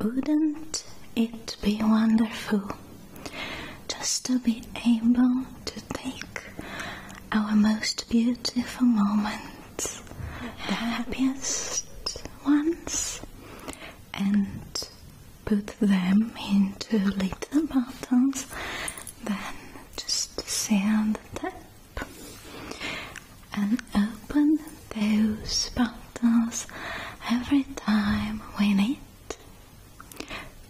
Wouldn't it be wonderful just to be able to take our most beautiful moments, the happiest ones, and put them into little bottles, then just stay on the tap and open those bottles every time we need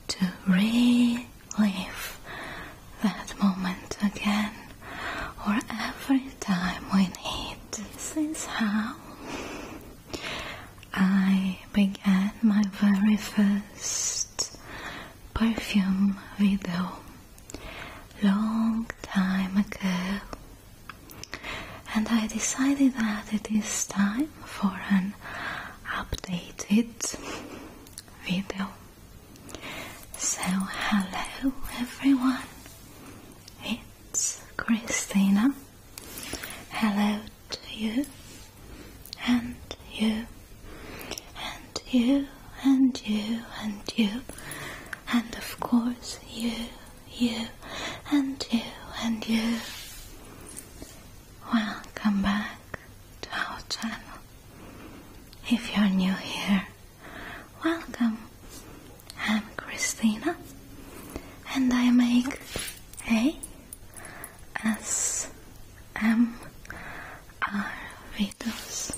to relive that moment again or every time we need. This is how I began my very first perfume video long time ago and I decided that it is time for an updated video. So hello everyone, it's Christina. Hello to you and you, and you, and you, and you, and of course you, you, and you, and you. Welcome back to our channel. If you're new here, welcome. I'm Christina, and I make a S M R videos.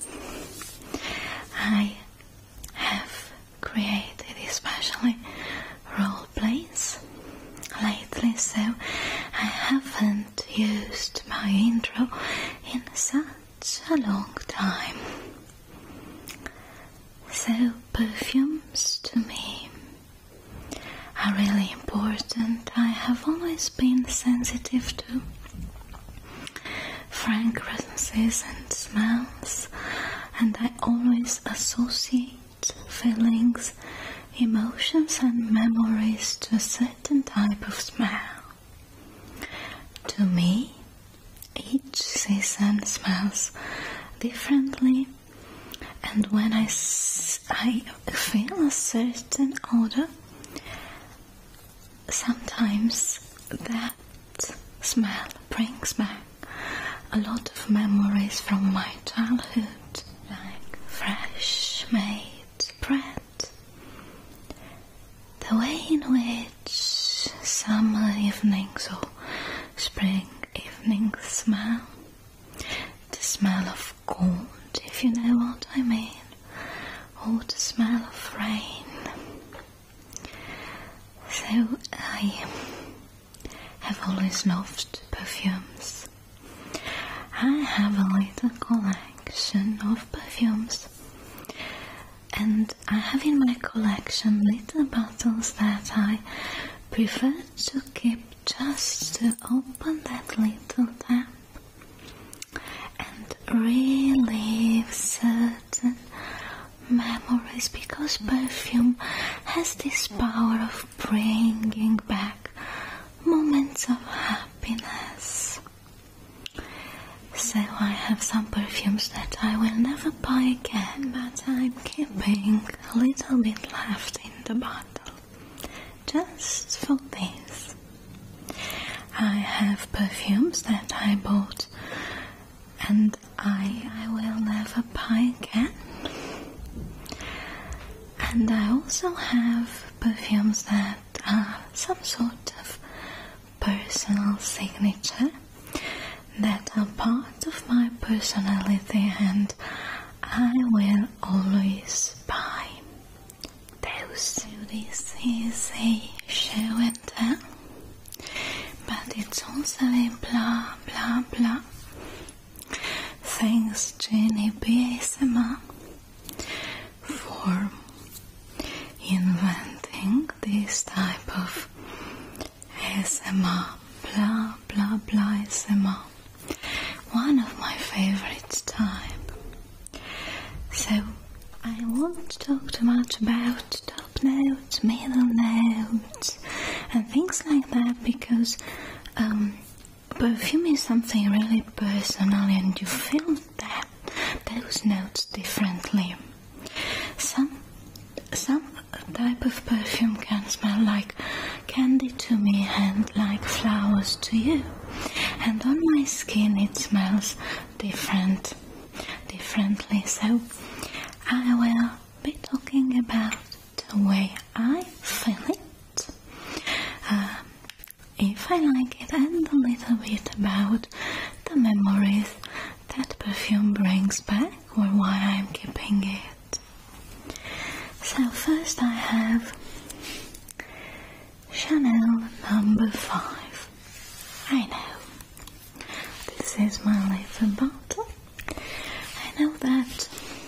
I have created especially role plays lately, so I haven't used my intro in such a long time. So perfumes to me are really important. I have always been sensitive to fragrances and smells, and I always associate feelings, emotions, and memories to a certain type of smell. To me, each season smells differently, and when I, I feel a certain odor, Sometimes that smell brings back a lot of memories from my childhood, like fresh made bread. The way in which summer evenings or spring evenings smell the smell of gold, if you know what I mean, or oh, the smell of rain. So I have always loved perfumes. I have a little collection of perfumes. And I have in my collection little bottles that I prefer to keep just to open that little tap and relive certain memories because perfume has this power of bringing back moments of happiness. So I have some perfumes that I will never buy again, but I'm keeping a little bit left in the bottle just for this. I have perfumes that I bought and I, I will never buy again. And I also have perfumes that are some sort of personal signature that are part of my personality and I will always buy. Those duties is a show and tell, but it's also a blah blah blah. Thanks, Jenny BASMR, for inventing this type of ASMR, blah blah blah ASMR one of my favorite type. So I won't talk too much about top notes, middle notes, and things like that because um, perfume is something really personal, and you feel that those notes differently. Some some type of perfume can smell like candy to me and like flowers to you and on my skin it smells different differently so I will be talking about the way I feel it um, if I like it and a little bit about the memories that perfume brings back or why I'm keeping it so first I have Chanel number five. I know. This is my little bottle. I know that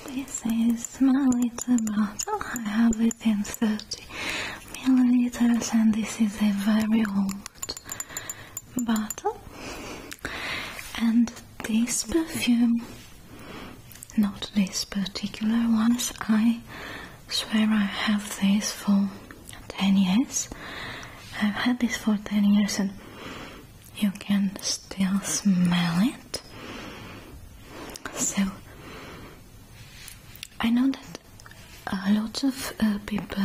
this is my little bottle. I have within 30 milliliters and this is a very old bottle. And this perfume not this particular ones. I swear I have this for 10 years. I've had this for 10 years and you can still smell it. So, I know that lots of uh, people,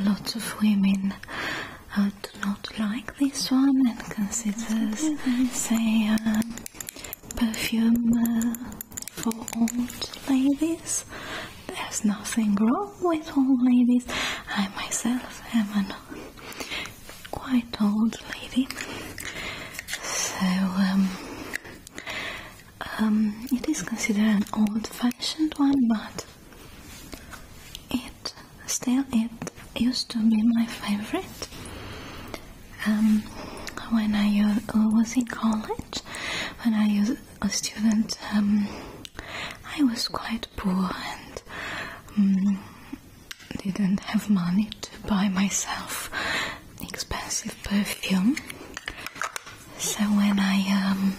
lots of women uh, do not like this one and consider, say, uh, perfume uh, for old ladies. There's nothing wrong with old ladies. I myself am a quite old lady. So, um, um, it is considered an old-fashioned one, but it still it used to be my favorite. Um, when I uh, was in college, when I was a student, um, I was quite poor and um, didn't have money to buy myself expensive perfume. So when I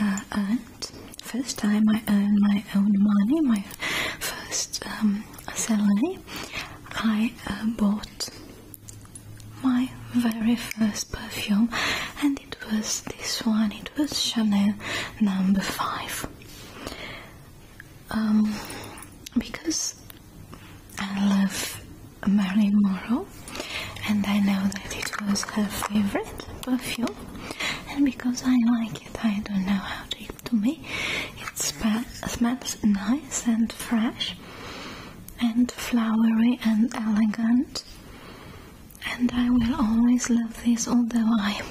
uh, earned, first time I earned my own money, my first salary, I uh, bought my very first perfume, and it was this one. It was Chanel number five. Um, because I love Marilyn Monroe, and I know that it was her favorite perfume, and because I like it, I don't know how to, to me, it smells nice and fresh and flowery and elegant. And I will always love this, although I'm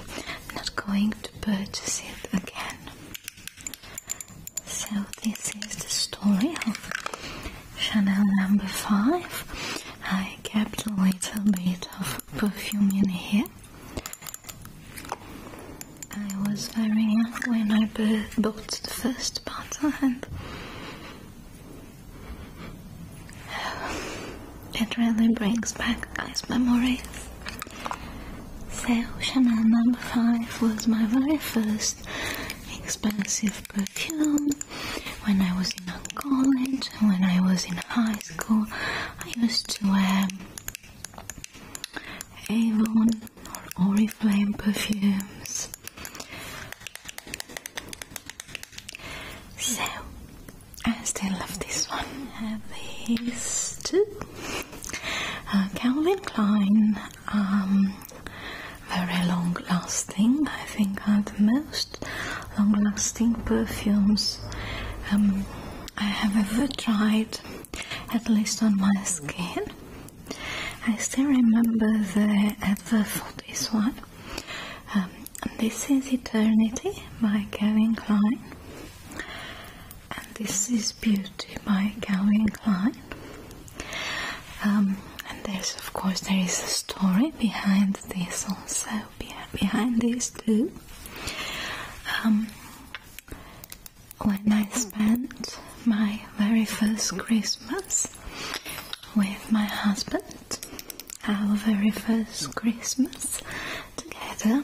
not going to purchase it again. So this is the story of Chanel number 5. I kept a little bit of perfume in here I was very young when I bought the first bottle and it really brings back nice memories. So Chanel number 5 was my very first expensive perfume. When I was in college, when I was in high school, I used to wear Avon or Oriflame perfumes. So, I still love this one. I have these two. Uh, Calvin Klein, um, very long lasting, I think are the most long lasting perfumes um, I have ever tried at least on my skin. I still remember the advert uh, for this one. Um, this is Eternity by Calvin Klein. And this is Beauty by Calvin Klein. Um, and there's, of course, there is a story behind this also, behind these two. Um, when I spent my very first Christmas with my husband, our very first Christmas together.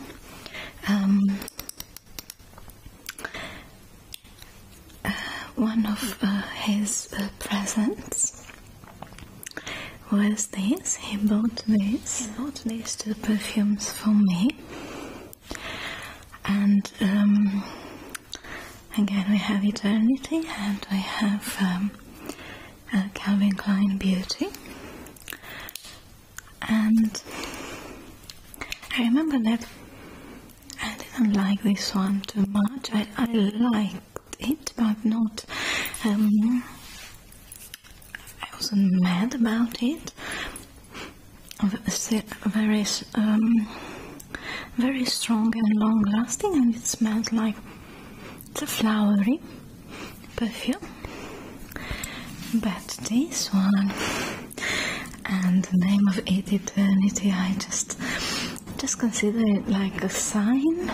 Um, uh, one of uh, his uh, presents was this. He bought this. He bought these two perfumes for me and um, again we have eternity and we have um, uh, Calvin Klein beauty and I remember that I didn't like this one too much I, liked it but not um, I wasn't mad about it very, um, very strong and long-lasting, and it smells like a flowery perfume. But this one and the name of it, eternity, I just just consider it like a sign,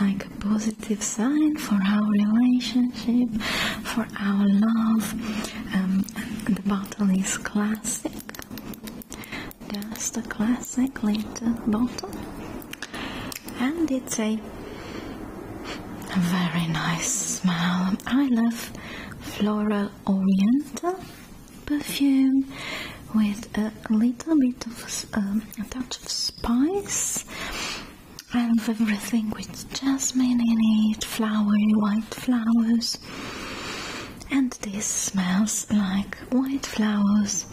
like a positive sign for our relationship, for our love. Um, the bottle is classic, just a classic little bottle, and it's a very nice smell. I love floral oriental perfume with a little bit of um, a touch of spice and everything with jasmine in it, flowery white flowers. And this smells like white flowers.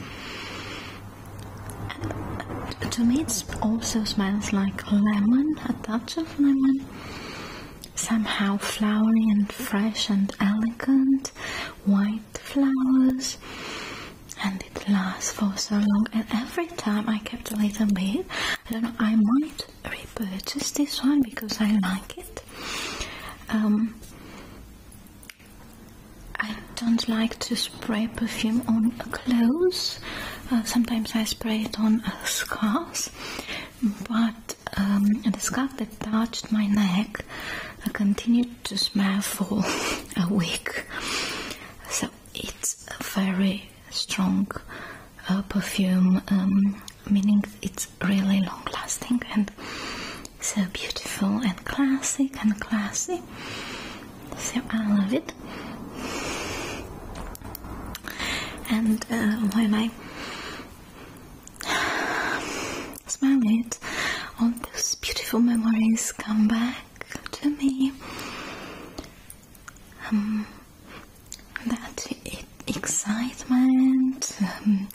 And to me, it also smells like lemon, a touch of lemon. Somehow flowery and fresh and elegant, white flowers and it lasts for so long and every time I kept a little bit I don't know I might Repurchase this one because I like it. Um, I don't like to spray perfume on clothes. Uh, sometimes I spray it on uh, scarves, but um, the scarf that touched my neck uh, continued to smell for a week. So it's very strong uh, perfume, um, meaning it's really long lasting and so beautiful and classic and classy. So I love it. And uh, when I smell it, all those beautiful memories come back to me. Um, that excitement, um,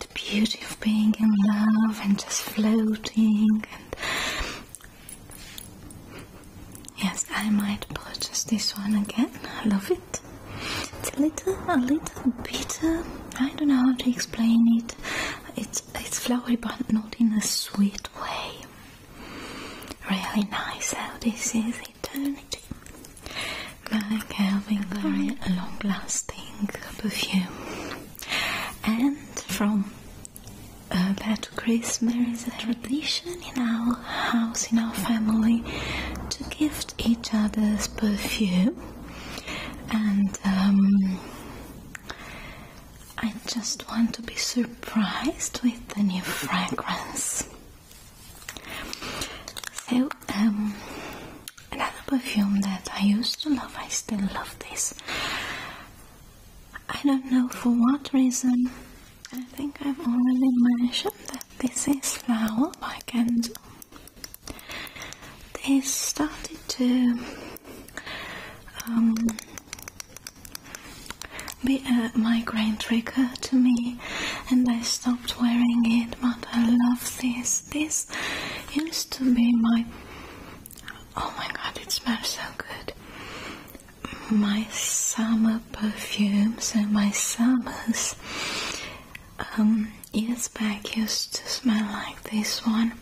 the beauty of being in love and just floating. And yes, I might purchase this one again. I love it. It's a little, a little bitter. I don't know how to explain it. It's it's flowery, but not in a sweet way. Really nice. how this is eternity. Like having very long-lasting perfume. And from uh, that Christmas there is tradition in our house, in our family, to gift each other's perfume. And um, I just want to be surprised with the new fragrance. So, um, another perfume that I used to love, I still love this. I don't know for what reason. I think I've already mentioned that this is Flower by Kenzo. They started to um, be a uh, migraine trigger to me and I stopped wearing it but I love this this used to be my oh my god it smells so good my summer perfumes and my summers um, years back used to smell like this one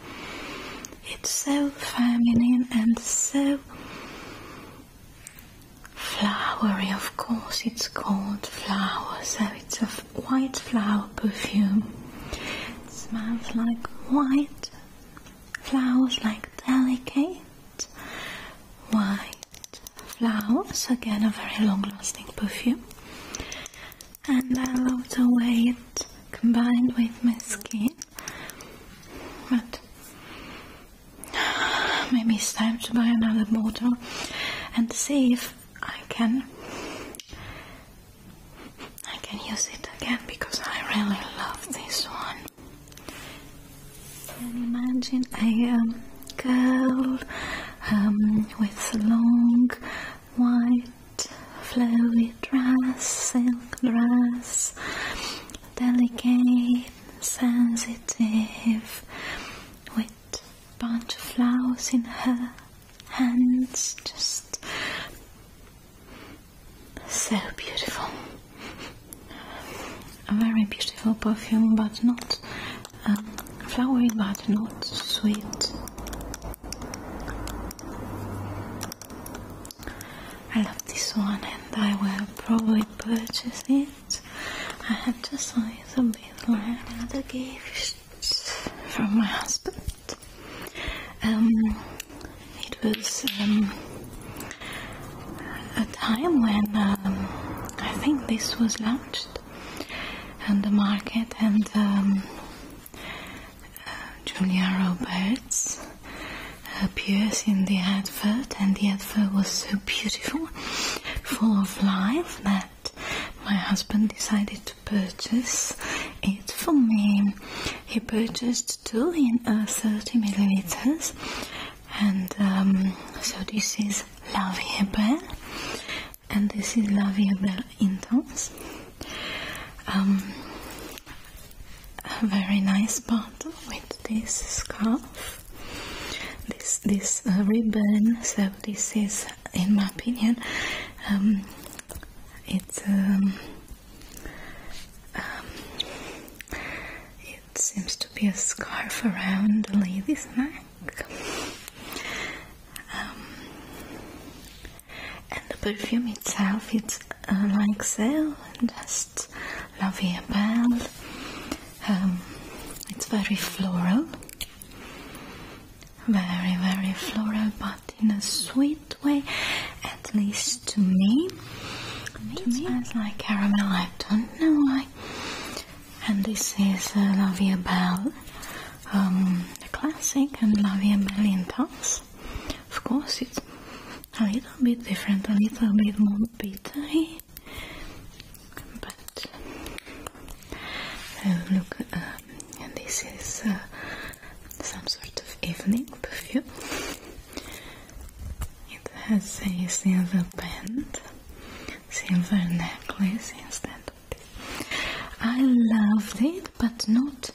it's so feminine and so Flowery, of course, it's called flowers. so it's a white flower perfume. smells like white flowers, like delicate white flowers. Again, a very long lasting perfume. And I love the way it combined with my skin. But Maybe it's time to buy another bottle and see if I can I can use it again because I really love this one. Can you imagine a um, girl um, with long white flowy dress, silk dress, delicate Sensitive, with bunch of flowers in her hands just so beautiful a very beautiful perfume but not um, flowering, but not sweet I love this one and I will probably purchase it I had to sign some little another gift from my husband. Um, it was um, a time when um, I think this was launched on the market, and um, uh, Julia Roberts uh, appears in the advert, and the advert was so beautiful, full of life, that my husband decided to purchase it for me. He purchased two in uh, 30 milliliters, and um, so this is La Vie Belle, and this is La Vie Belle Intense. Um, a very nice bottle with this scarf this this uh, ribbon. So this is, in my opinion, um, um, um, it seems to be a scarf around the lady's neck. Um, and the perfume itself, it's uh, like so, and has just lavable. Um, it's very floral, very very floral, but in a sweet way. At least to me, to me, it smells like caramel. I don't know why. And this is uh, lavable, the um, classic, and lavable intense. Of course, it's a little bit different, a little bit more bitter. But uh, look, um, this is uh, some sort of evening perfume. It has a silver band, silver necklace instead. I loved it, but not.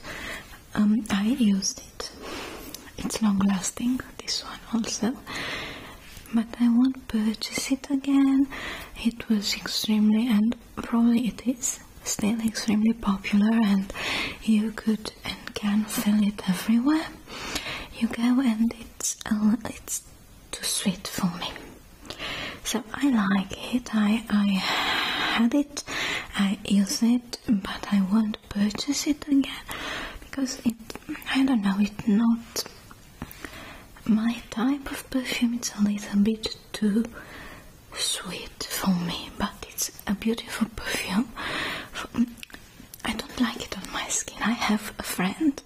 Um, I used it. It's long lasting. This one also but I won't purchase it again. It was extremely, and probably it is still extremely popular, and you could and can fill it everywhere you go, and it's uh, it's too sweet for me. So I like it. I I had it. I use it, but I won't purchase it again because it. I don't know. It's not my type of perfume its a little bit too sweet for me, but it's a beautiful perfume. I don't like it on my skin. I have a friend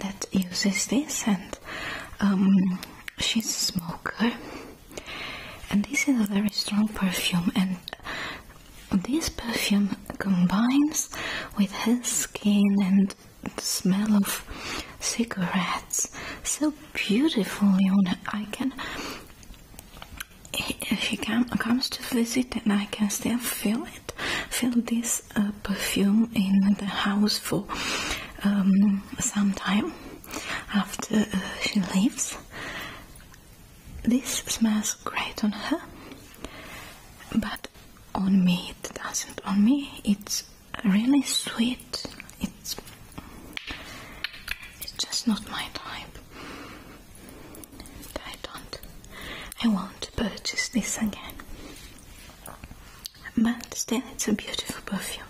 that uses this, and um, she's a smoker. And this is a very strong perfume, and this perfume combines with his skin and the smell of cigarettes so beautifully on I can if he comes to visit then I can still feel it feel this uh, perfume in the house for um, some time after uh, she leaves this smells great on her but on me, it doesn't on me. It's really sweet. It's it's just not my type. I don't I won't purchase this again. But still it's a beautiful perfume.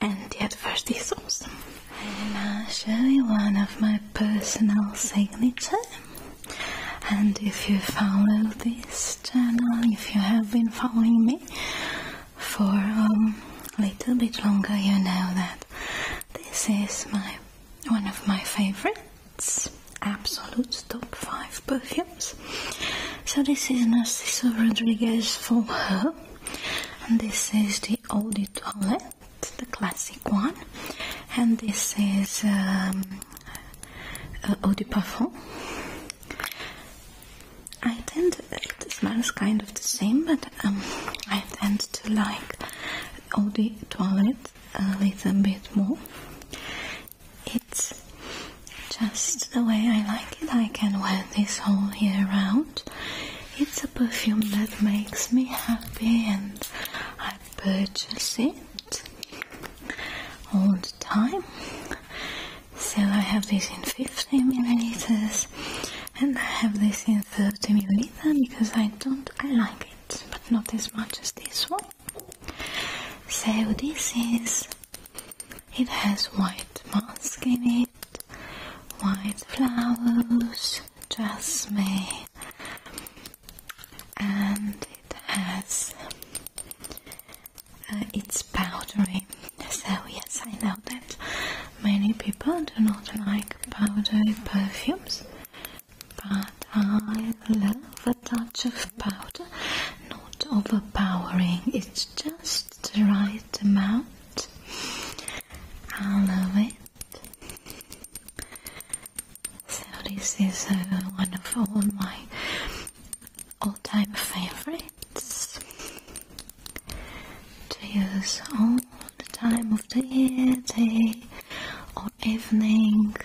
And the advert is awesome. And I'll show you one of my personal signature and if you follow this channel, if you have been following me for a little bit longer, you know that this is my one of my favorites, absolute top five perfumes. So this is Narciso Rodriguez for her, and this is the Eau de the classic one, and this is um, uh, eau de parfum. I tend it smells kind of the same, but um, I tend to like eau de toilette a little bit more. It's just the way I like it. I can wear this all year round. It's a perfume that makes me happy and I purchase it all the time. So I have this in 50 milliliters and I have this in 30 milliliter because I don't I like it, but not as much as this one. So this is it has white musk in it, white flowers, jasmine, and it has uh, it's powdery. So yes, I know that many people do not like powdery perfumes, but I love a touch of powder, not overpowering. It's just the right amount. I love it. So this is one of all my all-time favorites to use all the time of the year, day or evening.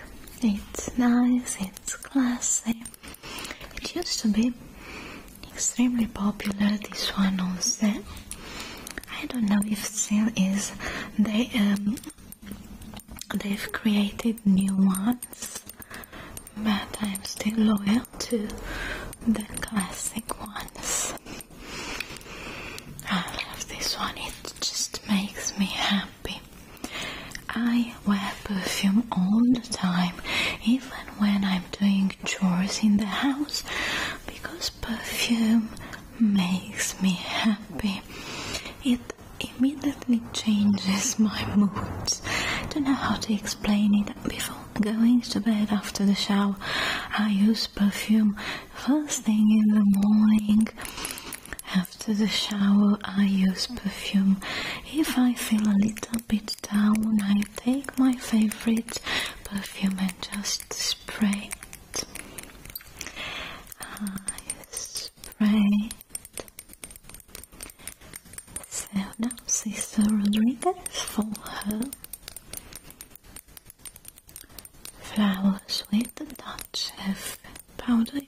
It's nice, it's classy. It used to be extremely popular, this one also. I don't know if still is. They um, They've created new ones, but I'm still loyal to the classic ones. I love this one, it just makes me happy. I wear perfume all the time, even when I'm doing chores in the house, because perfume makes me happy. It immediately changes my mood. I Don't know how to explain it. Before going to bed after the shower, I use perfume first thing in the morning. After the shower, I use perfume. If I feel a little bit down, I take my favorite perfume and just spray I sprayed so now Sister Rodriguez for her flowers with the Dutch of powder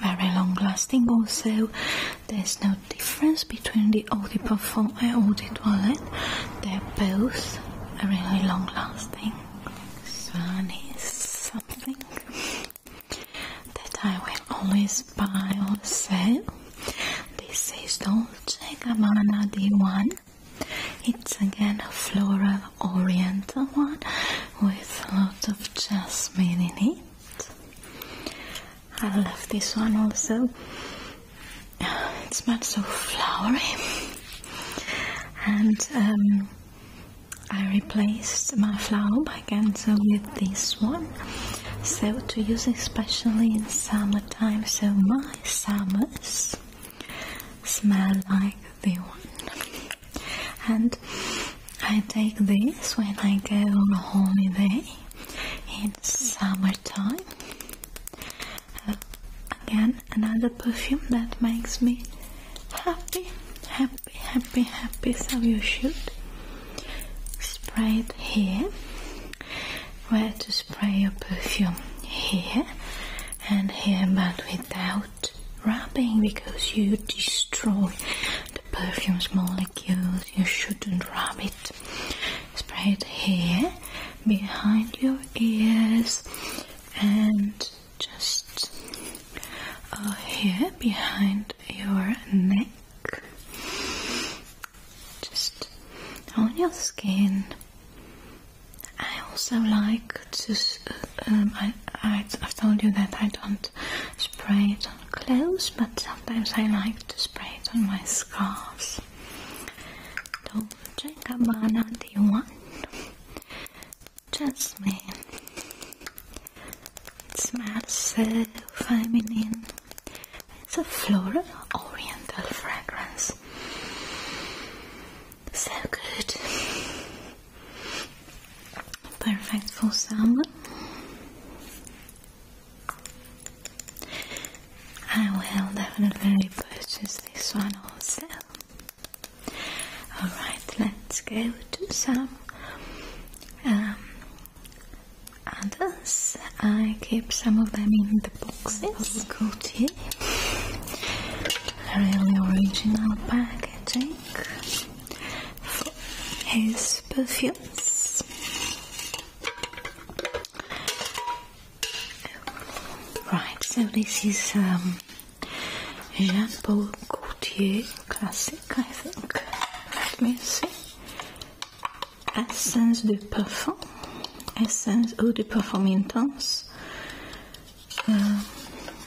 very long lasting also there's no difference between the Eau perfume Parfum and Eau de they're both a really long lasting is something that I will always buy or sell. This is Dolce Gabbana D1. It's again a floral oriental one with a lot of jasmine in it. I love this one also It smells so flowery. And um, I replaced my flower by Kenzo with this one. So to use especially in summertime. So my summers smell like the one. And I take this when I go on holiday in summertime again another perfume that makes me happy happy happy happy so you should spray it here where to spray your perfume here and here but without rubbing because you destroy the perfume's molecules you shouldn't rub it spray it here behind your ears and just uh, here behind your neck just on your skin I also like to um, I, I, I've told you that I don't spray it on clothes but sometimes I like to spray it on my scarves don't Jacobana D1 Jasmine It smells uh, feminine It's a floral oriental fragrance So good Perfect for summer I will definitely purchase this one also. Alright, let's go to some um, others. I keep some of them in the boxes of Gucci. Really original packaging for his perfumes. Right, so this is um, Jean Paul Gaultier classic, I think. Let me see. Essence de parfum, essence eau de parfum intense. Um,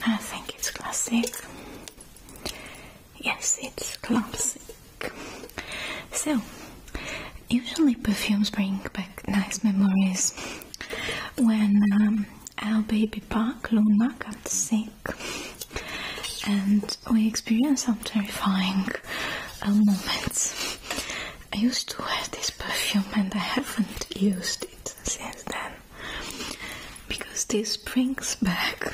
I think it's classic. Yes, it's classic. So, usually perfumes bring back nice memories when um, our baby Park Luna got sick and we experienced some terrifying uh, moments. I used to wear this perfume and I haven't used it since then because this brings back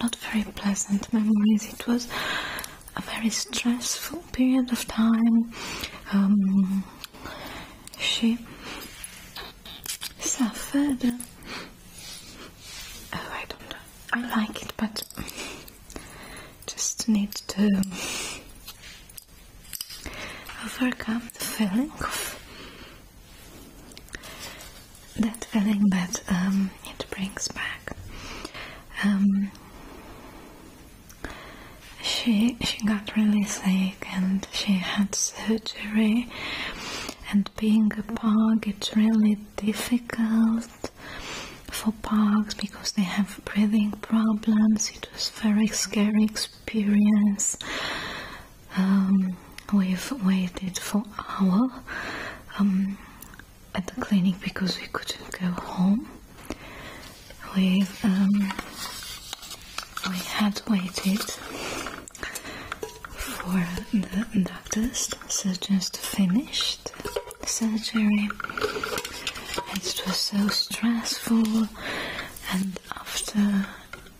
not very pleasant memories. It was a very stressful period of time. Um, she suffered. Oh, I don't know. I like it, but just need to overcome the feeling that feeling that um, it brings back. Um, she she got really sick and she had surgery and being a pug it's really difficult for pugs because they have breathing problems it was very scary experience um, we've waited for hour um, at the clinic because we couldn't go home we um, we had waited for the doctors so just finished surgery. It was so stressful, and after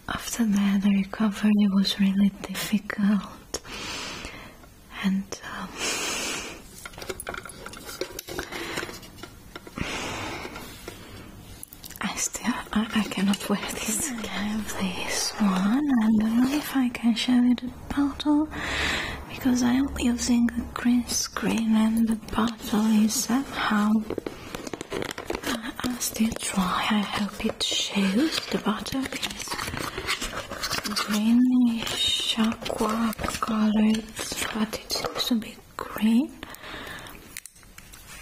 after that the recovery was really difficult, and. Um, I still I, cannot wear this. I have this one. I don't know if I can show you the bottle because I am using a green screen and the bottle is somehow. I, still try. I hope it shows. The bottle is greenish aqua colored, but it seems to be green.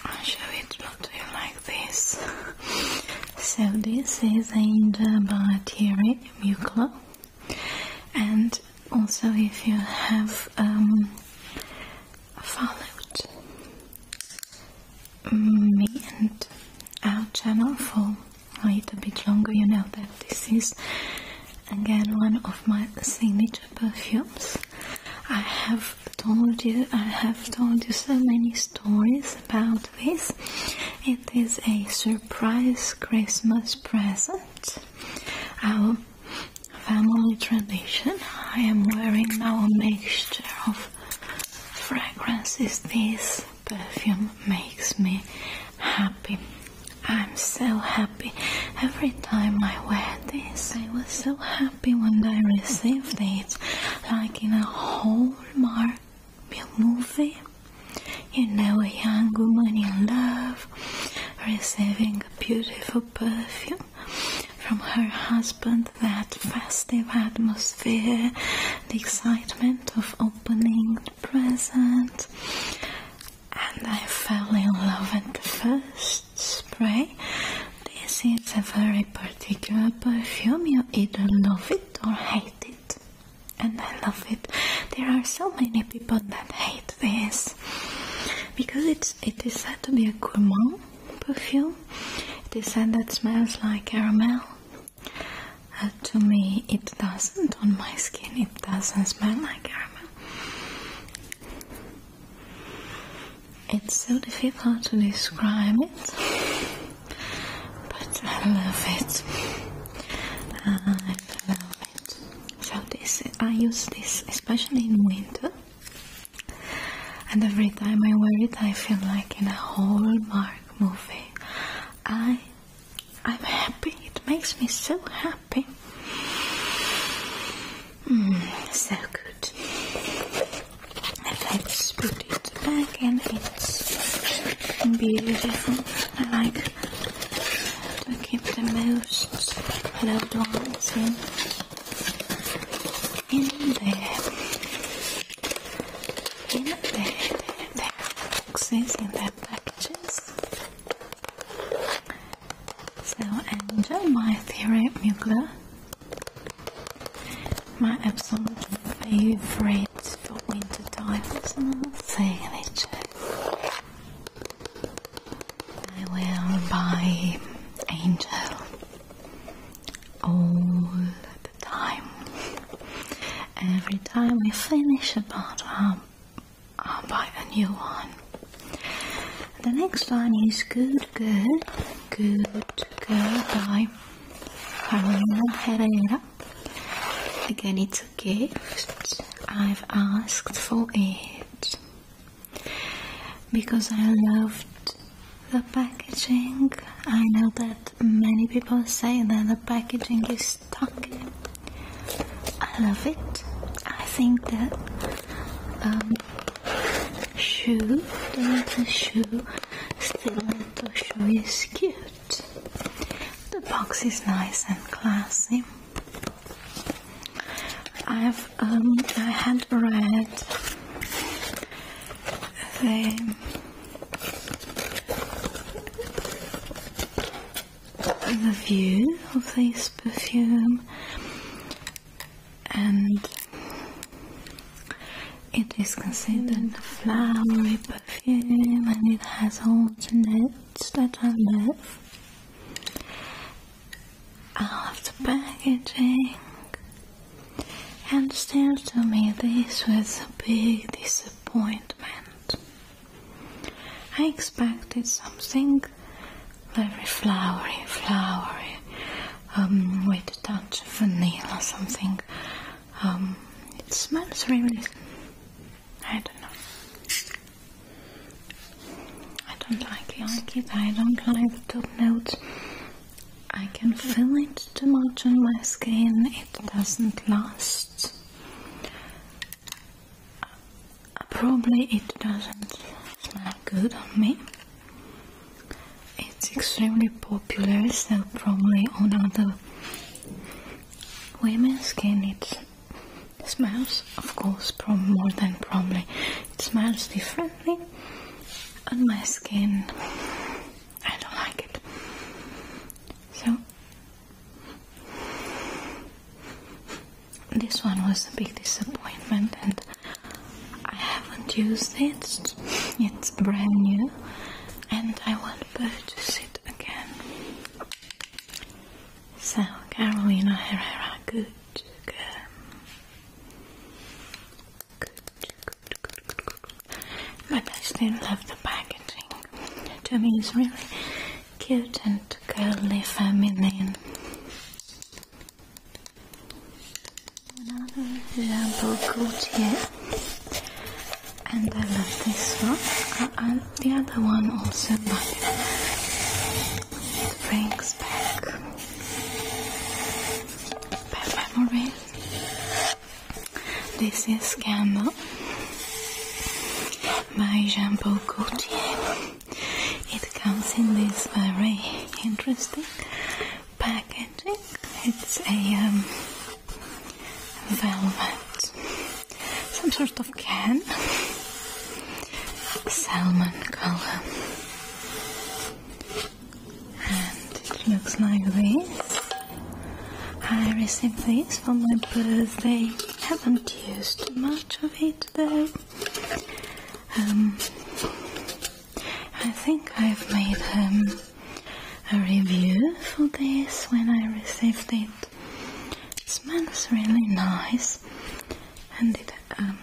I'll show it to you like this. so this is Angel Baratieri Muclo. And also if you have um, followed me and our channel for a little bit longer, you know that this is again one of my signature perfumes. I have told you I have told you so many stories about this. It is a surprise Christmas present. Our family tradition. I am wearing now a mixture of fragrances this perfume makes me happy. I'm so happy. Every time I wear this, I was so happy when I received it, like in a Hallmark movie. You know, a young woman in love receiving a beautiful perfume from her husband, that festive atmosphere, the excitement of opening the present and I fell in love at the first spray. This is a very particular perfume, you either love it or hate it, and I love it. There are so many people that hate this because it's, it is said to be a gourmand perfume, it is said that smells like caramel. Uh, to me, it doesn't. On my skin, it doesn't smell like caramel. It's so difficult to describe it, but I love it. I love it. So this, I use this especially in winter, and every time I wear it, I feel like in a Hallmark movie. I, I'm happy. It makes me so happy. Mm, so good. Let's put it back and it's beautiful. I like to keep the most loved ones in, in there. In the boxes, in the packages. So, and my favorite mugler, my absolute favorite for winter time is my signature. I will buy Angel all the time. Every time we finish a bottle, I'll buy a new one. The next one is Good good, Good good. by Carolina Herrera. Again, it's a gift. I've asked for it because I loved the packaging. I know that many people say that the packaging is stuck I love it. I think that um, shoe, the little shoe, still little shoe is cute. The box is nice and classy. I've um, I had read the the view of this perfume and it is considered a flowery perfume and it has all the notes that I love. I love the packaging and still to me this was a big disappointment. I expected something very flowery, flowery, um, with a touch of vanilla, or something. Um, it smells really. I don't know. I don't Like it. I don't like the top notes. I can feel it too much on my skin. It doesn't last. Probably it doesn't smell good on me. It's extremely popular, so probably on other women's skin it smells, of course, from more than probably. It smells differently on my skin. I don't like it. So this one was a big disappointment and I haven't used it. It's brand new and I want to purchase it again. So, Carolina Herrera, good girl. Good, good, good, good, I still love the packaging. To me, it's really cute and girly feminine. Another jumbo Gautier. And I love this one. Uh, the other one also, brings back memories. This is Gamble by Jean Paul Gaultier. It comes in this very interesting packaging. It's a um, velvet, some sort of can, salmon color, and it looks like this. I received this for my birthday. Haven't used much of it though. Um, I think I've made um, a review for this when I received it. It smells really nice, and it um,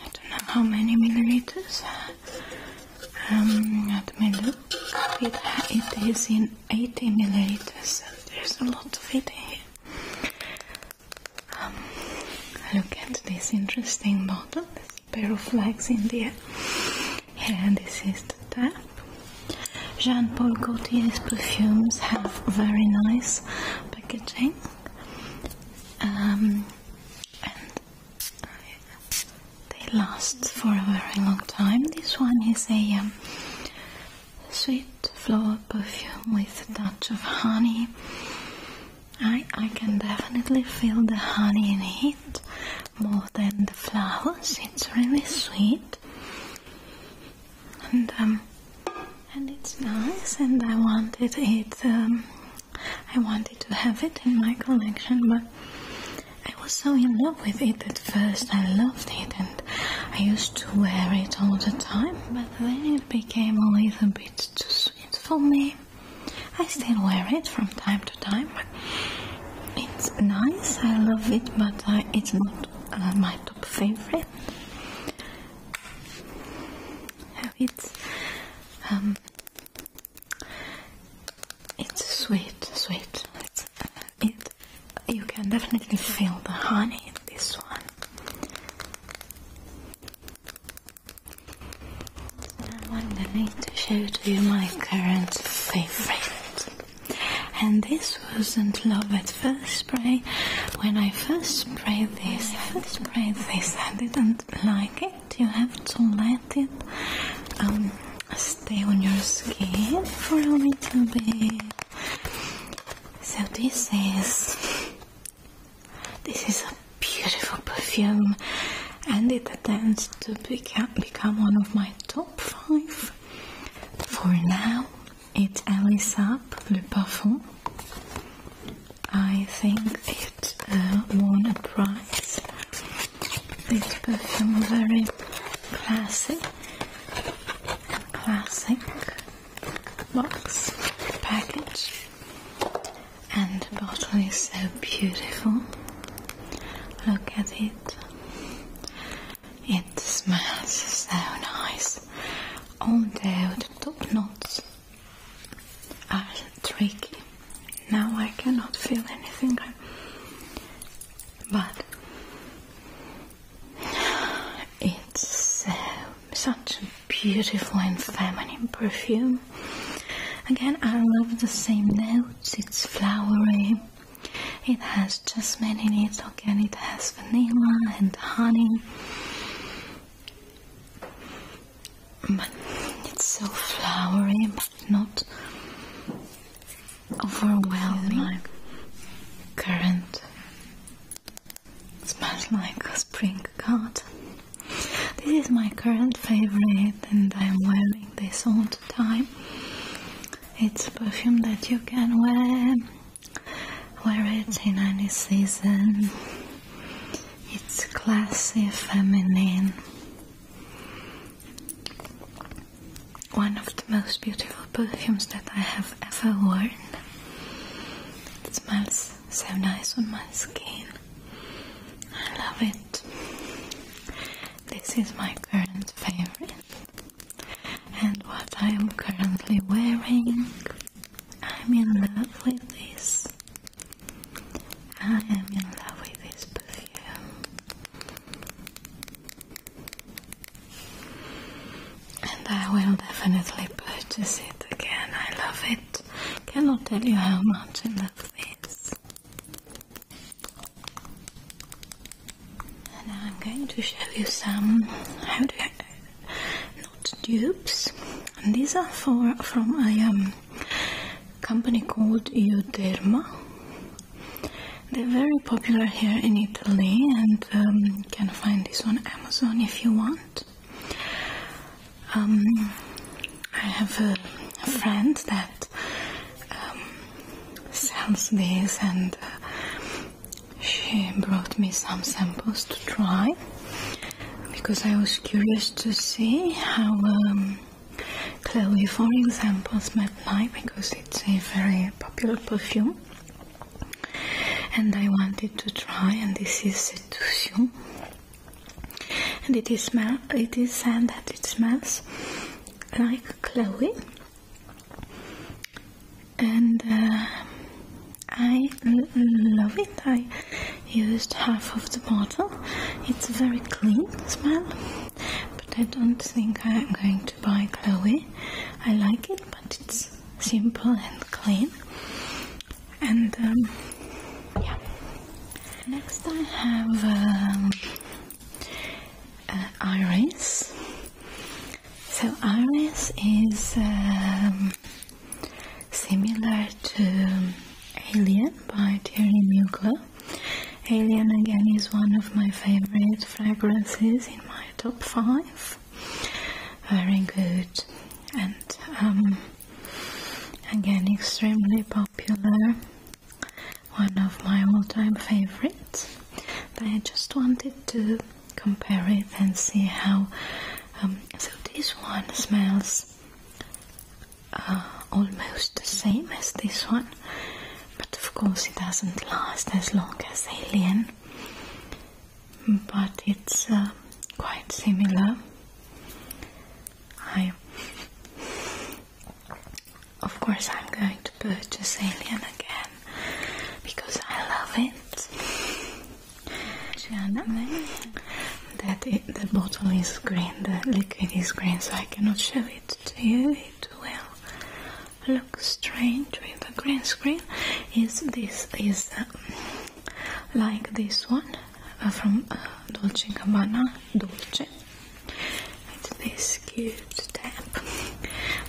I don't know how many milliliters. Um, let me look. It, it is in 18 milliliters. There's a lot of it here. Um, look at this interesting bottle, this pair of flags in the air. And this is the top. Jean Paul Gaultier's perfumes have very nice packaging. Um, and they last for a very long time. This one is a um, sweet flower perfume with a touch of honey. I, I can definitely feel the honey in it more than the flowers. It's really sweet. And um, and it's nice and I wanted it um, I wanted to have it in my collection but I was so in love with it at first I loved it and I used to wear it all the time but then became a little bit too sweet for me. I still wear it from time to time. It's nice, I love it, but uh, it's not uh, my top favorite. It's um, it's sweet, sweet. Uh, it you can definitely feel the honey in this one. I'm going to show to you my current favorite. And this wasn't love at first spray. When I first sprayed this, first sprayed this, I didn't like it. You have to let it um, stay on your skin for a little bit. So this is this is a beautiful perfume, and it attempts to become one of my top five. For now, it's Alice Le Parfum. I think it uh, won a prize. This perfume very classic, classic box package and the bottle is so beautiful look at it it smells so nice although the top knots are tricky now I cannot feel anything but it's um, such a beautiful and feminine perfume. Again, I love the same notes. It's flowery. It has just in it. Again, it has vanilla and honey. But it's so flowery, but not overwhelming. Current smells like a spring garden. This is my current favorite and I'm wearing this all the time. It's perfume that you can wear, wear it in any season. It's classy, feminine. One of the most beautiful perfumes that I have ever worn. It smells so nice on my skin. I love it. This is my current favorite. And what I am currently wearing, I'm in love with this. I am in love with this perfume and I will definitely purchase it again. I love it. Cannot tell you how much I love this. And I'm going to show you some how do I, not dupes. And these are from a um, company called Euderma. They're very popular here in Italy and you um, can find this on Amazon if you want. Um, I have a, friend that um, sells this, and uh, she brought me some samples to try because I was curious to see how um, Chloe, for example, smelled like because it's a very popular perfume and I wanted to try and this is seduction and it is smell it is said that it smells like Chloe and uh, I love it I used half of the bottle it's a very clean smell but I don't think I'm going to buy Chloe I like it but it's simple and clean. And um, yeah. Next I have um, uh, iris. So iris is um, similar to Alien by Thierry Mugler. Alien again is one of my favorite fragrances in my top 5 very good. And um, again, extremely popular. One of my all-time favorites. But I just wanted to compare it and see how. Um, so this one smells uh, almost the same as this one, but of course it doesn't last as long as Alien but it's uh, quite similar. I, of course, I'm going to purchase Alien again because I love it. That the bottle is green, the liquid is green, so I cannot show it to you. It will look strange with a green screen. Is this is. Uh, like this one uh, from uh, Dolce & Gabbana Dolce it's this cute tap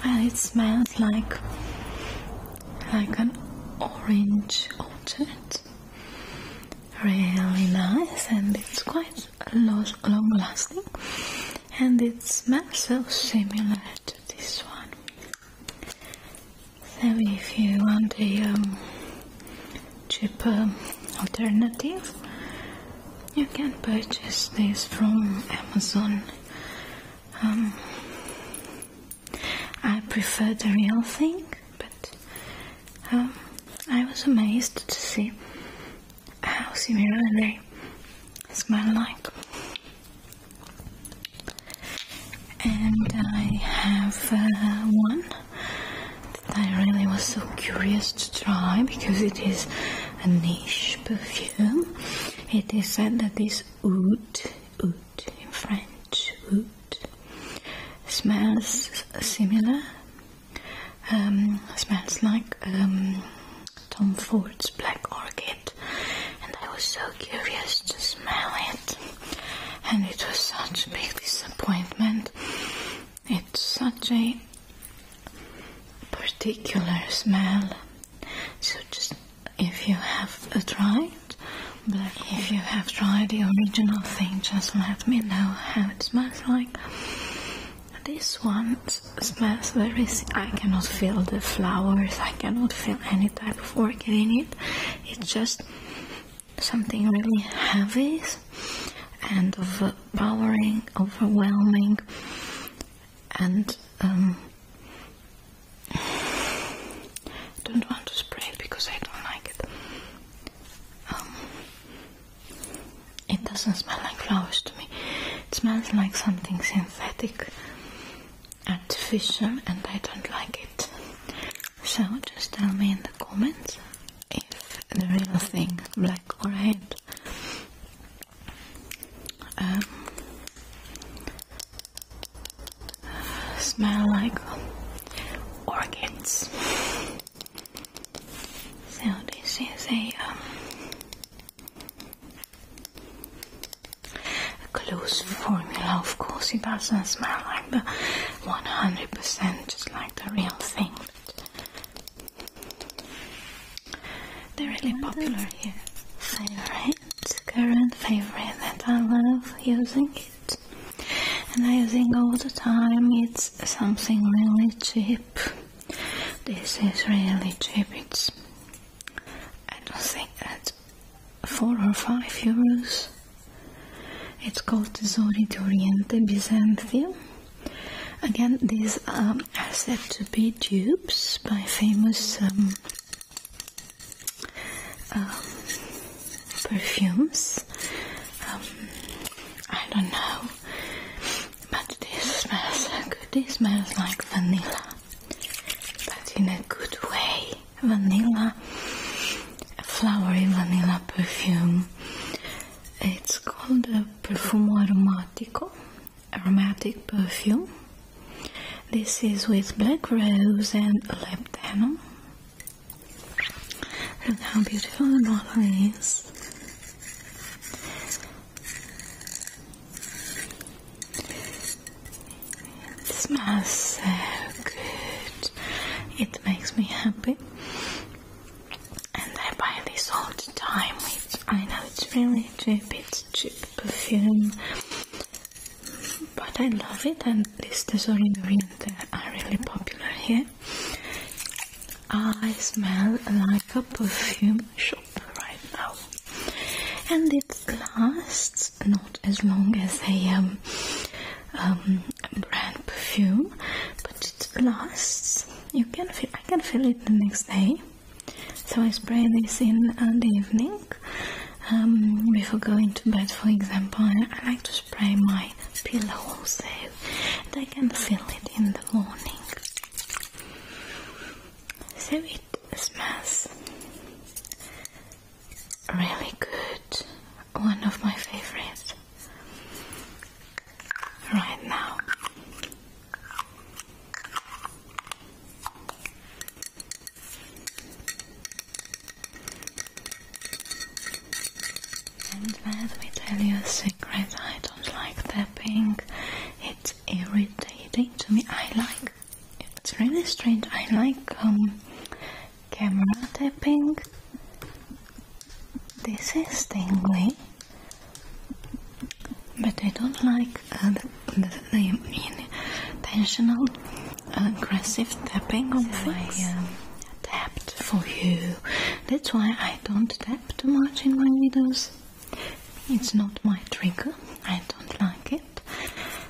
and it smells like like an orange orchard really nice and it's quite long lasting and it smells so similar to this one so if you want a um, cheaper um, alternative, you can purchase this from Amazon. Um, I prefer the real thing, but I was amazed to see how similar they smell like and I have uh, one that I really was so curious to try because it is a niche perfume. It is said that this oud, oud in French, oud, smells similar, um, smells like um, Tom Ford's Black Orchid and I was so curious to smell it. And it was such a big disappointment. It's such a particular smell. So just if you have tried, but if you have tried the original thing, just let me know how it smells like. This one smells very. I cannot feel the flowers. I cannot feel any type of orchid in it. It's just something really heavy and overpowering, overwhelming, and I um, don't want to spray it because I don't like it. Um, it doesn't smell like flowers to me. It smells like something synthetic artificial and I don't like it. So just tell me in the comments if the real thing, black or red, um, smell like orchids. So this is a um, a close formula. Of course, it doesn't smell like the 100% just like the real thing. They're really popular here. Favorite, current favorite and I love using it. And I think all the time it's something really cheap. This is really cheap. It's I don't think that 4 or 5 euros. It's called Tesori d'Oriente Byzantium. Again, these are said to be dupes by famous um, um, perfumes. Um, I don't know, but this smells This smells like vanilla, but in a good way vanilla, flowery vanilla perfume. It's called a Perfumo Aromatico, aromatic perfume. This is with black rose and labdanum. Look how beautiful the bottle is. It smells so good. It makes me happy. And I buy this all the time. It's, I know it's really cheap, it's cheap perfume. But I love it and this Tesoro Oriente are really popular here. I smell like a perfume shop right now. And it's lasts not as long as a um, um, brand perfume, but it lasts. You can feel, I can feel it the next day. So I spray this in uh, the evening um, before going to bed, for example. I like to spray my pillow also, I can feel it in the morning. So it smells really good, one of my favorites right now. And let me tell you a secret, I don't like tapping, it's irritating to me. I like it's really strange. I like um, camera tapping. This is tingly, but I don't like uh, the, intentional aggressive tapping on my um, tapped for you. That's why I don't tap too much in my videos. It's not my trigger. I don't like it.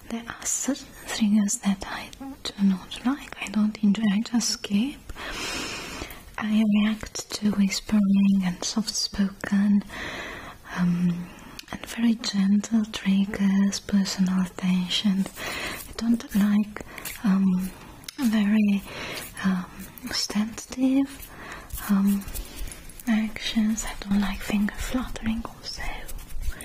There are certain triggers that I do not like. I don't enjoy. I just skip. I react to whispering and soft-spoken um, and very gentle triggers, personal attention. I don't like um, very um, sensitive um, actions. I don't like finger fluttering also. So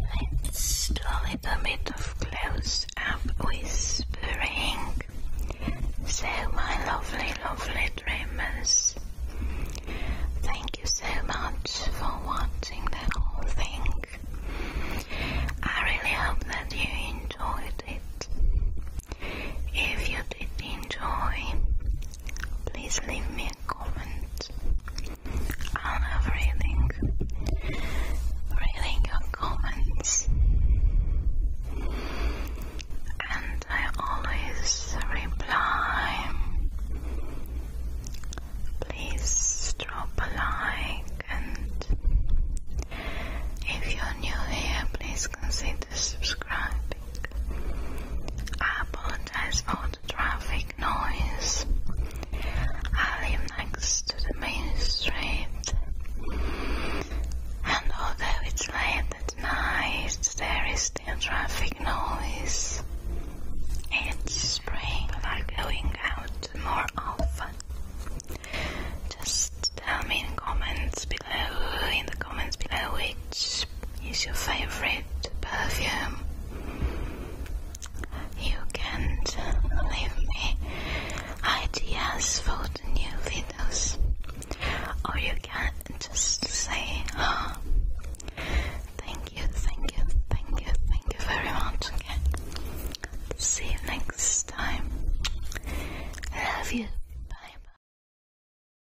let's develop a bit of close up whispering. So my lovely, lovely dreamers, thank you so much for watching the whole thing. I really hope that you enjoyed it. If you did enjoy, please leave me a comment. I love reading your comments, and I always reply. Please drop a like, and if you're new here, please consider subscribing. I apologize for the traffic noise. I live next to the main street. And although it's late at night, there is still traffic noise. It's spring, we're going out more often. Just tell me in comments below, in the comments below which is your favorite perfume, you can leave me ideas for the new videos, or you can just say, oh, Thank you, thank you, thank you, thank you very much. Okay. See you next time. Love you. bye.